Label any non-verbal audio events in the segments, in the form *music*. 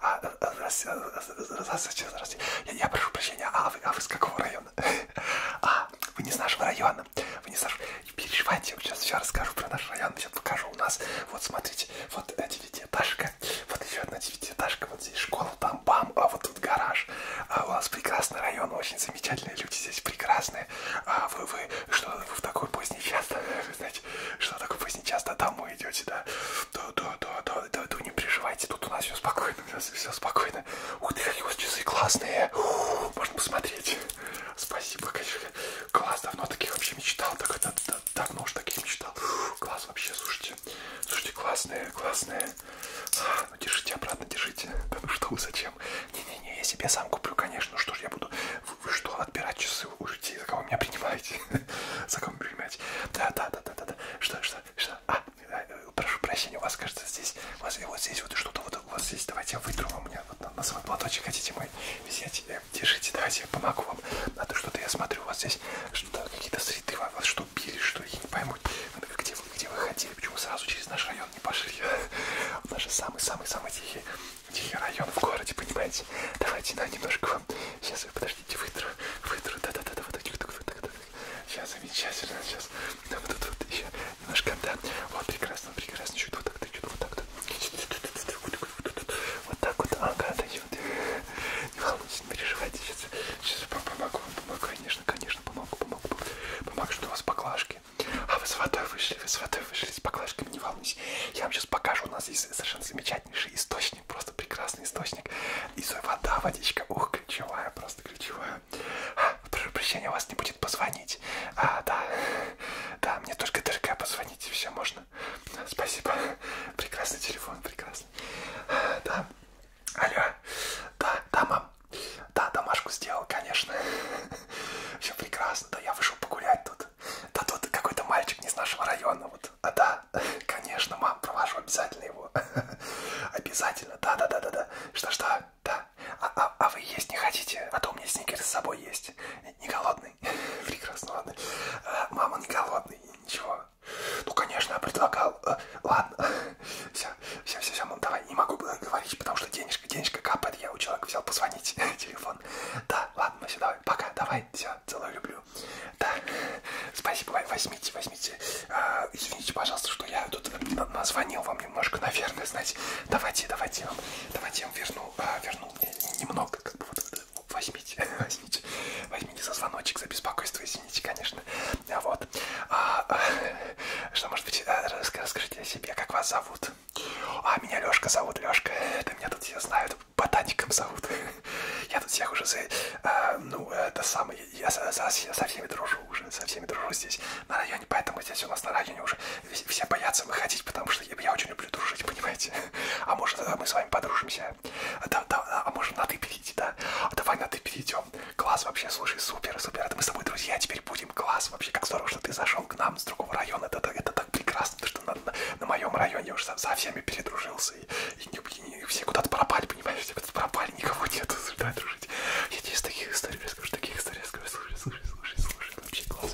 А, здравствуйте, э, э, здравствуйте. Э, я, я прошу прощения, а вы, а вы с какого района? *laughs* А, вы не с нашего района. Вы не с нашего... Не переживайте, я вам сейчас все расскажу про наш район. Сейчас покажу у нас. Вот, смотрите, вот девятиэтажка. Вот еще одна девятиэтажка. Вот здесь школа, там бам, а вот тут гараж. А у нас прекрасный район, очень замечательный замечательные люди здесь, прекрасные. А вы, вы, что вы в такой поздний час, вы *laughs* знаете, что такой поздний час, да, домой идете, да? Да, да, да, да, да, да, не переживайте, тут у нас все спокойно, у нас все спокойно. Ух ты, какие у вас часы классные, Ух, можно посмотреть. Спасибо, конечно, класс, давно таких вообще мечтал, так, да, да, давно уж таких мечтал. Ух, класс вообще, слушайте, слушайте, классные, классные. Ну держите обратно, держите. *laughs* Да ну что вы, зачем? Не-не-не, я себе сам куплю, конечно. Ну что ж я буду... Вы, вы что, отбирать часы у людей? За кого меня принимаете? *laughs* За кого принимаете? Да-да-да-да-да. Что, что, что? А, э, э, прошу прощения, у вас, кажется, здесь... У вас э, вот здесь вот что-то вот у вас здесь. Давайте я вытру вам. У меня вот на свой платочек хотите мой взять? Держите, давайте я помогу вам. А то что-то я смотрю, у вас здесь что-то какие-то среды. Вас что, били, что? Я не пойму, где интересно, где вы ходили, почему сразу через наш район не пошли. *laughs* У нас же самый-самый-самый тихий, тихий район в городе, понимаете? Давайте на немножко вам. Сейчас вы подождите, вытру, вытру, да-да-да, вот так, так, так, так. Сейчас замечательно, сейчас. Да, вот тут вот еще немножко, да. Вот прекрасно, прекрасно, чуть вот так, чуть вот так, да. Вот так вот, ага, да, не, не волнуйтесь, не переживайте, сейчас, сейчас помогу вам, помогу, конечно, конечно, помогу, помогу, помогу, что у вас баклажки, вышли. А вы с водой вышли, вы с водой вышли, с баклажками, не волнуйся. Я вам сейчас покажу, у нас есть совершенно замечательнейший источник, просто прекрасный источник. И вода, водичка, ух, ключевая, просто ключевая. А, прошу прощения, у вас не будет позвонить. А, да, да, мне только-только позвонить, все, можно. Спасибо, прекрасный телефон, прекрасный. А, да, алло, да, да, мам. Да, домашку сделал, конечно. *laughs* Все прекрасно, да, я вышел погулять тут. Да тут какой-то мальчик не с нашего района, вот. А да, *laughs* конечно, мам, провожу обязательно его. *laughs* Обязательно, да-да-да-да-да. Что-что, да. А, а, а вы есть не хотите? А то у меня сникерс с собой есть. Не голодный? Прекрасно, ладно. А, мама не голодный, ничего. Ну, конечно, я предлагал. А, ладно, все, все, все, все, все, ну давай, не могу было говорить, потому что денежка, денежка капает, я у человека взял позвонить, *laughs* телефон. Да, ладно, все, давай, пока, давай, все, целую, люблю. Да, спасибо, возьмите, возьмите. А, извините, пожалуйста, что я тут назвонил вам немножко, наверное, знаете. Давайте, давайте, вам, давайте я вам верну, а, верну немного, как бы вот, вот ну, возьмите, *laughs* возьмите, возьмите за звоночек, за беспокойство, извините, конечно. Вот. А, а, что, может быть, э, расскажите о себе, как вас зовут? А, меня Лёшка зовут, Лёшка. Да меня тут все знают, ботаником зовут. *laughs* Я тут всех уже за... Э, ну, это самое... Я со, со, со всеми дружу уже, со всеми дружу здесь, на районе, поэтому здесь у нас на районе уже все боятся выходить, потому что я, я очень люблю дружить, понимаете? *laughs* А может, э, мы с вами подружимся? Да, да, а может, на ты перейти, да? А давай на ты перейдем зашел. Класс вообще, слушай, супер, супер. Это мы с тобой друзья, теперь будем. Класс вообще, как здорово, что ты зашел к нам с другого района. Это, это, это так прекрасно, потому что на, на, на моем районе я уже со, со всеми передружился. И, и, и, и все куда-то пропали, понимаешь, все куда-то пропали, никого нет. *laughs* Давай дружить. Я тебе из таких историй расскажу, таких историй расскажу. Слушай, слушай, слушай, слушай, вообще класс.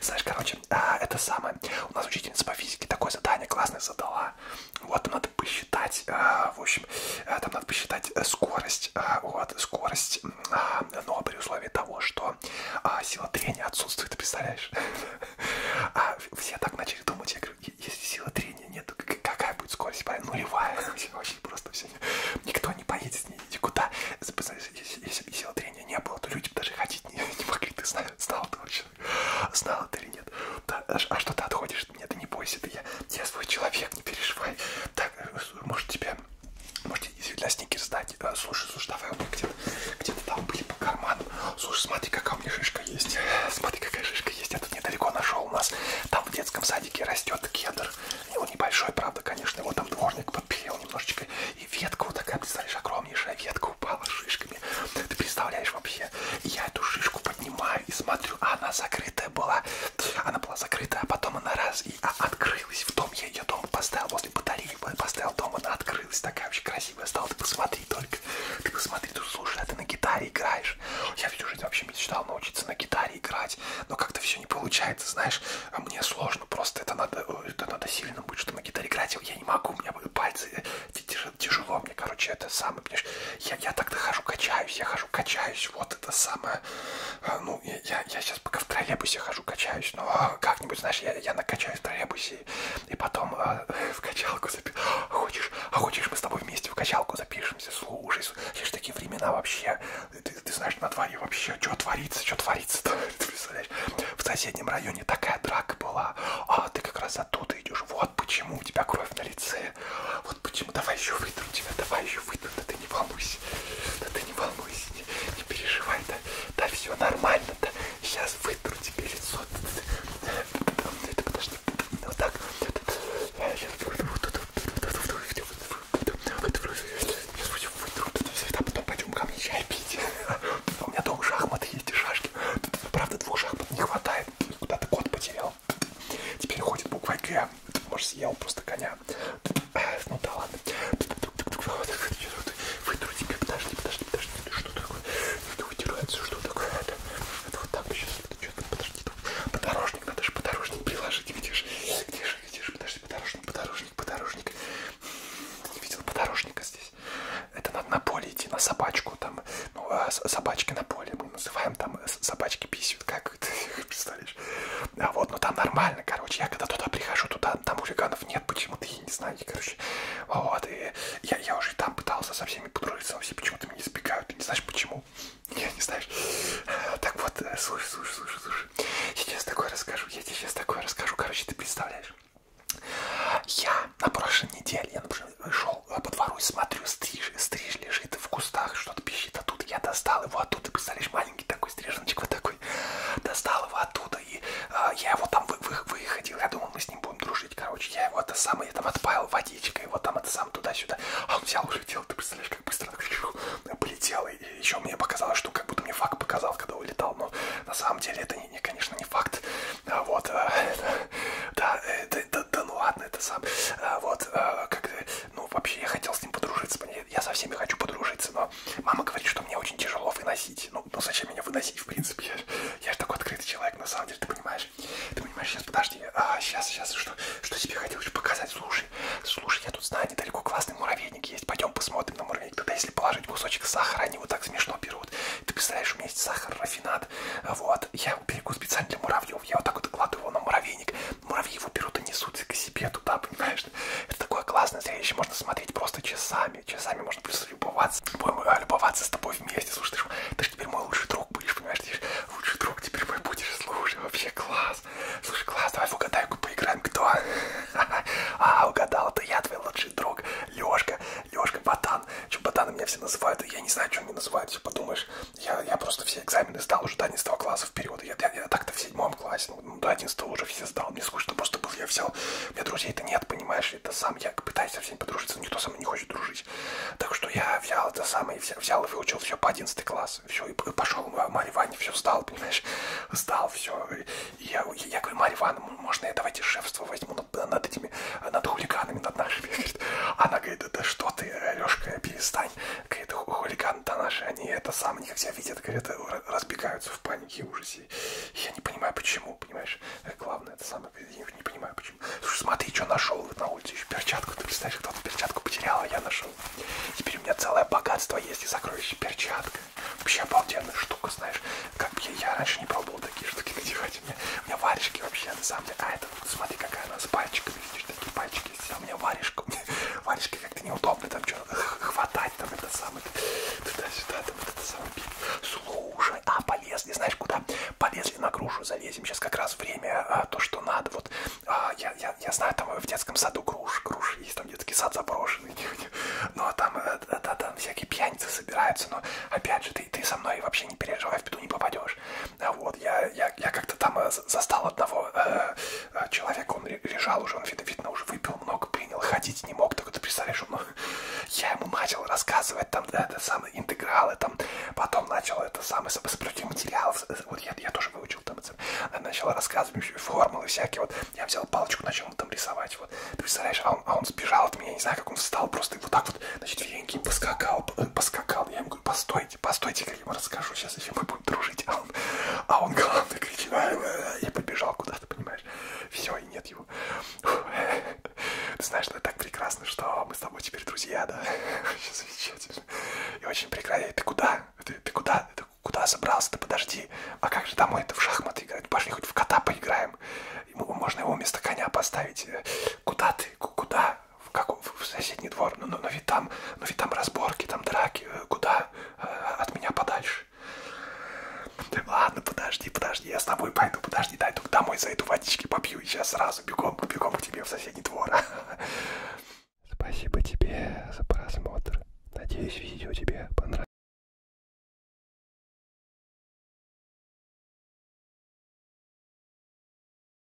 Знаешь, короче, а, это самое. У нас учительница по физике такое задание классное задала. Вот, нам надо посчитать, а, в общем, общем, э, там надо посчитать э, скорость, э, вот, скорость, а, но при условии того, что а, сила трения отсутствует, представляешь? *laughs* А все так начали думать, я говорю, если силы трения нет, какая будет скорость? Нулевая, *laughs* очень просто все, никто не поедет никуда. Представляешь, если, если сила трения не было, то люди даже ходить не, *laughs* не могли, ты знал, знал ты вообще, знал ты или нет. Да, а, а что ты отходишь? Нет, ты не бойся, ты я, я свой человек, не переживай. Так, может тебя Можете, если для сникерс дать. Э, слушай, слушай, давай у меня где-то где там были по карману. Слушай, смотри, какая у меня шишка есть. Смотри, какая шишка есть. Я тут недалеко нашел у нас. Там в детском садике растет кедр. Ну, небольшой, правда, конечно. Его там дворник подпилил немножечко. И ветка вот такая, представляешь, огромнейшая ветка упала с шишками. Ты представляешь вообще? Я эту шишку поднимаю и смотрю, а она закрытая была. Она была закрыта, а потом она раз и а, открылась. В дом я ее дома поставил, возле батареи поставил дом, она открылась. Такая вообще красивая стала. Ты посмотри только. Ты посмотри, ты слушай, а ты на гитаре играешь. Я всю жизнь вообще мечтал научиться на гитаре играть, но как-то все не получается, знаешь. А мне сложно, просто это надо, это надо сильно быть, чтобы на гитаре играть. Я не могу, у меня пальцы э, тяжело мне, короче, это самое. Я, я так-то хожу, качаюсь, я хожу, качаюсь. Вот это самое а, ну, я, я, я сейчас пока в троллейбусе хожу, качаюсь, но а, как-нибудь, знаешь, я, я накачаюсь в троллейбусе и потом а, *laughs* в качалку запишу. А хочешь, а хочешь, мы с тобой вместе в качалку запишемся, слушай, сейчас такие времена вообще, ты, ты знаешь, на дворе вообще, что творится, что творится-то, *laughs* ты представляешь, в соседнем районе такая драка была, а ты как раз оттуда идешь, вот почему у тебя кровь на лице, вот почему, давай еще вытру тебя, давай еще вытру, да ты не волнуйся волнуйся. Да ты не волнуйся, не, не переживай, да, да все нормально, да. Сейчас вытру тебе лицо. Это подожди. Вот так. Сейчас потом пойдем ко мне чай пить. А у меня дома шахматы есть и шашки. Правда, двух шахмат не хватает. Куда-то кот потерял. Теперь ходит буква Г коня. Может, съел просто коня. Ну да ладно. Вытру тебе, подожди, подожди, подожди. Что такое? Это вытирается, что такое? Это, это вот так сейчас. Что-то, подожди. Подорожник, надо же подорожник приложить. Где же, где же, где же? Подожди, подорожник, подорожник, подорожник. Ты не видел подорожника здесь? Это надо на поле идти, на собачку там. Ну, а собачки на поле мы называем там э, собачки письма бесит, как ты *laughs* представляешь. А вот, ну там нормально, короче, я когда туда прихожу, туда там хулиганов нет почему-то, я не знаю, и, короче, вот, и я, я уже там пытался со всеми подружиться, но все почему-то меня избегают, ты не знаешь почему, *laughs* я не знаешь. Так вот, э, слушай, слушай, слушай, слушай, я тебе сейчас такое расскажу, я тебе сейчас такое расскажу, короче, ты представляешь. Я на прошлой неделе, я, например, шел по двору и смотрю, стриж, стрижли лежит в кустах, что-то пищит оттуда. Я достал его оттуда, представляешь, маленький такой стриженочек вот такой. Достал его оттуда, и э, я его там вы, вы, выходил, я думал, мы с ним будем дружить, короче. Я его это сам, я там отпаял водичкой, его там это сам туда-сюда. А он взял, улетел, ты представляешь, как быстро так *laughs* полетел. И еще мне показалось, что как будто мне факт показал, когда улетал. Но на самом деле это, не, не конечно, не факт. А вот, э, *laughs* да, э, да, да, да, ну ладно, это сам. А вот, э, как ну, вообще, я хотел с ним подружиться. Я со всеми хочу подружиться, но мама говорит, что мне очень тяжело выносить. Ну, ну зачем меня выносить, в принципе? Я, я же такой открытый человек, на самом деле, ты понимаешь? Ты понимаешь, сейчас, подожди. А, сейчас, сейчас, что, что тебе хотел еще показать? Слушай, слушай, я тут знаю, недалеко классный муравейник есть. Пойдем посмотрим на муравейник. Тогда если положить кусочек сахара, они вот так смешно берут. Ты представляешь, у меня есть сахар, рафинат. Вот, я берегу специально для муравьев. Я вот так вот кладу его на муравейник муравьи его берут и несут к себе туда, понимаешь? Это такое классное зрелище, можно смотреть просто часами, часами можно просто любоваться, а, любоваться с тобой вместе, слушай, ты же, ты ж теперь мой лучший друг будешь, понимаешь, ты же лучший друг теперь мой будешь, слушай, вообще класс, слушай, класс, давай в угадайку поиграем, кто? *laughs* А, угадал, это я твой лучший друг, Лешка, Лешка, Ботан, что Ботана меня все называют, я не знаю, что они называют, все подумаешь, я, я просто все экзамены сдал уже до 11 класса вперед. Я, я, я так-то в седьмом классе, ну, до 11 уже все сдал. Мне скучно просто было, я взял. У меня друзей-то нет, понимаешь, это сам я пытаюсь со всеми подружиться, но никто со мной не хочет дружить. Так что я взял это самое, взял, взял и выучил все по 11 класс. Все, и пошел а, Марья Ваня, все сдал, понимаешь, сдал все. И я, я, я говорю, Марья Ивановна, можно я давайте шефство возьму над, над этими, над хулиганами, над нашими. Она говорит, да что ты, Лешка, перестань дрянь. Говорит, хулиган-то наши, они это самое, они как себя видят, говорят, э, разбегаются в панике и ужасе. Я не понимаю, почему, понимаешь? Э, главное, это самое, я не понимаю, почему. Слушай, смотри, что нашел вот на улице, еще перчатку, ты представляешь, кто-то перчатку потерял, а я нашел. Теперь у меня целое богатство есть и сокровище перчатка. Вообще обалденная штука, знаешь, как бы я, я раньше не пробовал такие штуки *laughs* надевать. У меня, у меня варежки вообще, на самом деле. А это, вот, смотри, какая она с пальчиками, видишь, такие пальчики все, у меня варежка, у меня *laughs* варежка как-то неудобно, там что-то *laughs* хватать, там это самое, туда-сюда, там это самое. Слушай, а полезли, знаешь куда? Полезли на грушу, залезем, сейчас как раз время, а, то, что надо, вот, а, я, я, я знаю, там в детском саду груш, груши есть, там детский сад заброшенный, *laughs* ну, а там, а, а, а, там всякие пьяницы собираются, но, опять же, ты, ты со мной вообще не переживай, в беду не попадешь, а вот, я, я, я как-то там э, застал одного э, э, человека, он лежал уже, он, видно, видно, уже выпил много, принял, ходить не мог, только ты представляешь, он, *laughs* я ему начал рассказывать там, да, это самое, интегралы там, потом начал это самое, сопротивление материалов, вот я, я тоже выучил там, это, э, начал рассказывать формулы всякие, вот, я взял палочку, начал там рисовать, вот, представляешь, а он, а он сбежал от меня, не знаю, как он встал, просто вот так вот, значит, веньки поскакал, э, поскакал, я ему говорю, постой, постойте, постойте, я ему расскажу, сейчас еще мы будем дружить, а он, а он главный кричит, и побежал куда-то, понимаешь, все, и нет его. Ты знаешь, ну это так прекрасно, что мы с тобой теперь друзья, да, вообще замечательно, и очень прекрасно, ты куда, ты, ты куда, ты куда собрался, ты подожди, а как же домой, это в шахматы играть, пошли хоть в кота поиграем, ему, можно его вместо коня поставить, куда ты, куда, в как как в соседний двор, но, но, но, ведь, там, но ведь там разборки, там драки, э, куда? Э, от меня подальше. Ты, ладно, подожди, подожди, я с тобой пойду, подожди, дай тут домой зайду, водички попью и сейчас сразу бегом, бегом к тебе в соседний двор. *laughs* Спасибо тебе за просмотр. Надеюсь, видео тебе понравилось.